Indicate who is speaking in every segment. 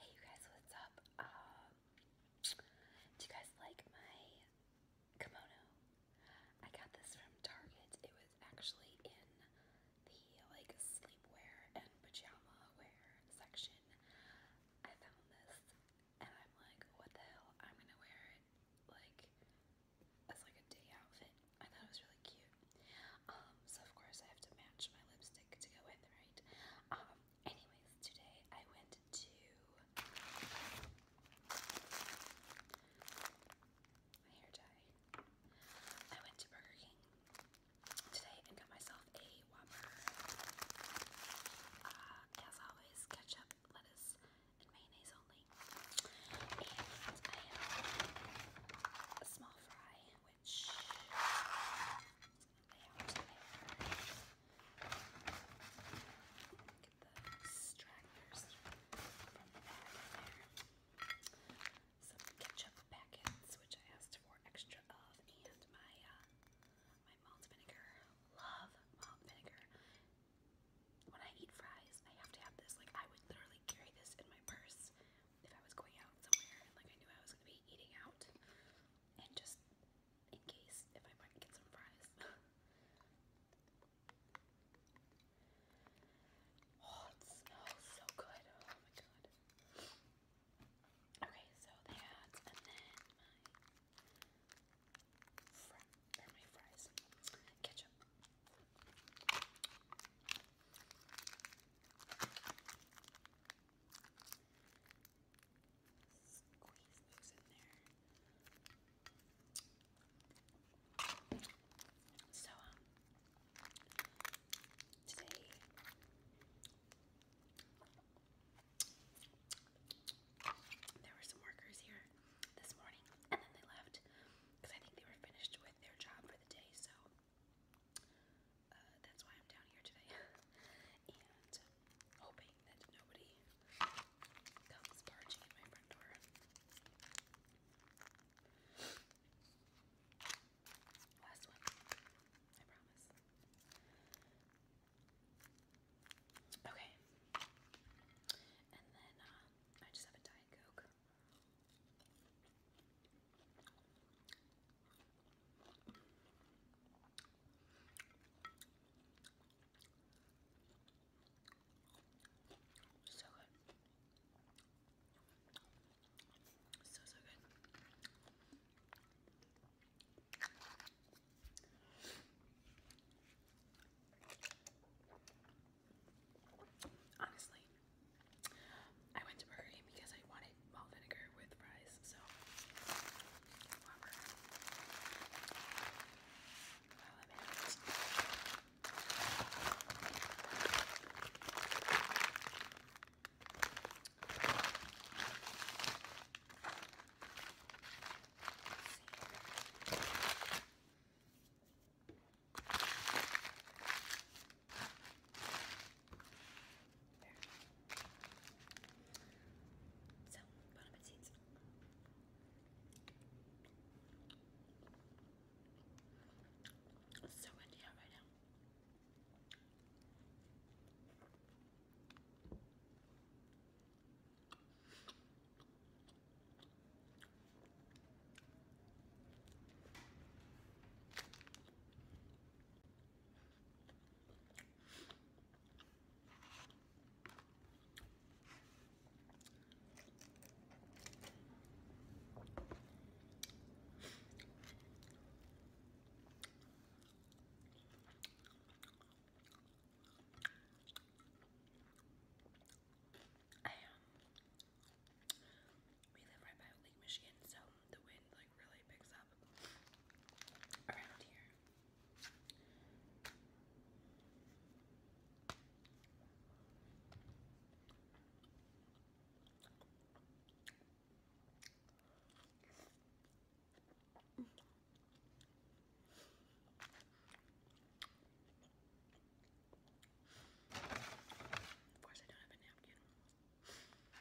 Speaker 1: Hey you guys, what's up? Um, do you guys like my kimono? I got this from Target. It was actually in the like sleepwear and pajama wear section. I found this and I'm like, what the hell? I'm gonna wear it like as like a day outfit I thought it was really cute. Um, so of course I have to match my lipstick to go with, right? Um, anyways, today I went to my hair dye. I went to Burger King today and got myself a Whopper. Uh, as always, ketchup, lettuce, and mayonnaise only. And a small fry which Some ketchup packets, which I asked for extra of, and my uh, my malt vinegar. Love malt vinegar. When I eat fries, I have to have this. Like I would literally carry this in my purse if I was going out somewhere like I knew I was gonna be eating out, and just in case if I might get some fries. oh, it smells so good! Oh my god. Okay, so that, and then my fr fries, ketchup. Squeeze those So, um, today there were some workers here this morning and then they left because I think they were finished with their job for the day. So, uh, that's why I'm down here today, and hoping that nobody comes barging at my front door. Last one, I promise. Okay, and then uh, I just have a Diet Coke. So good. So, so good. Honestly, I went to Burger King because I wanted malt vinegar with fries, so whatever. There. So, bon appetit. It's so windy out right now. I um, we live right by Lake Michigan, so the wind like really picks up around here. Of course, I don't have a napkin.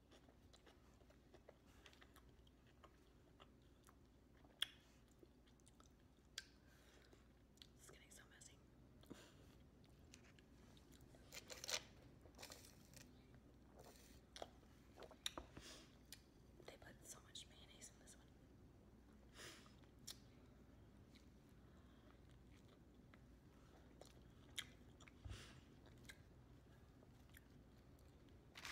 Speaker 1: This is getting so messy. They put so much mayonnaise in this one.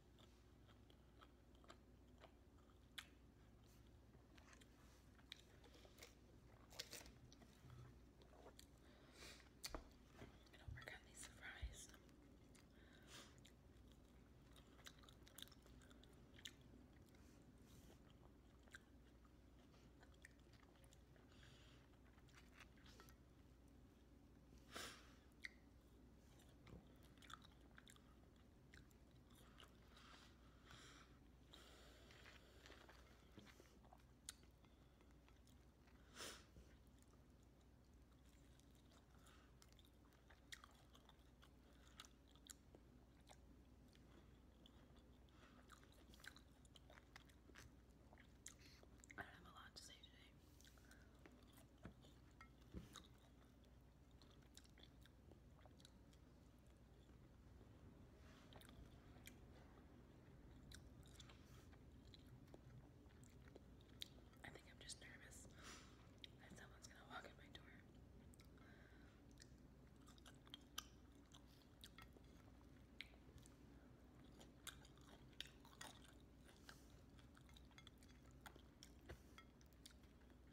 Speaker 1: And don't work on these fries. I do have a lot to say today. I think I'm just nervous that someone's gonna walk in my door.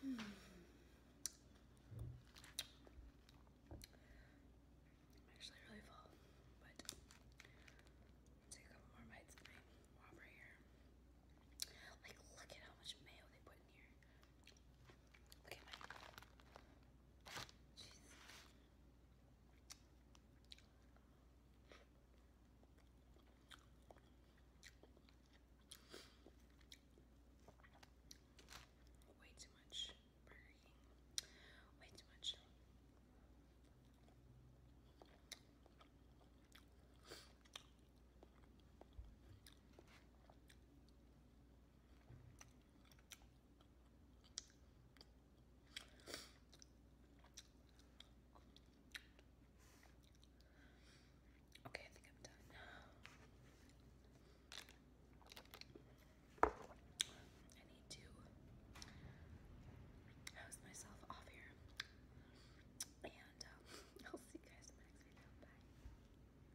Speaker 1: Hmm. I'm actually really full, but take a couple more bites of here. Like, look at how much mayo they put in here. Look at Way too much Way too much. Okay, I think I'm done. I need to hose myself off here. And uh, I'll see you guys next video. Bye.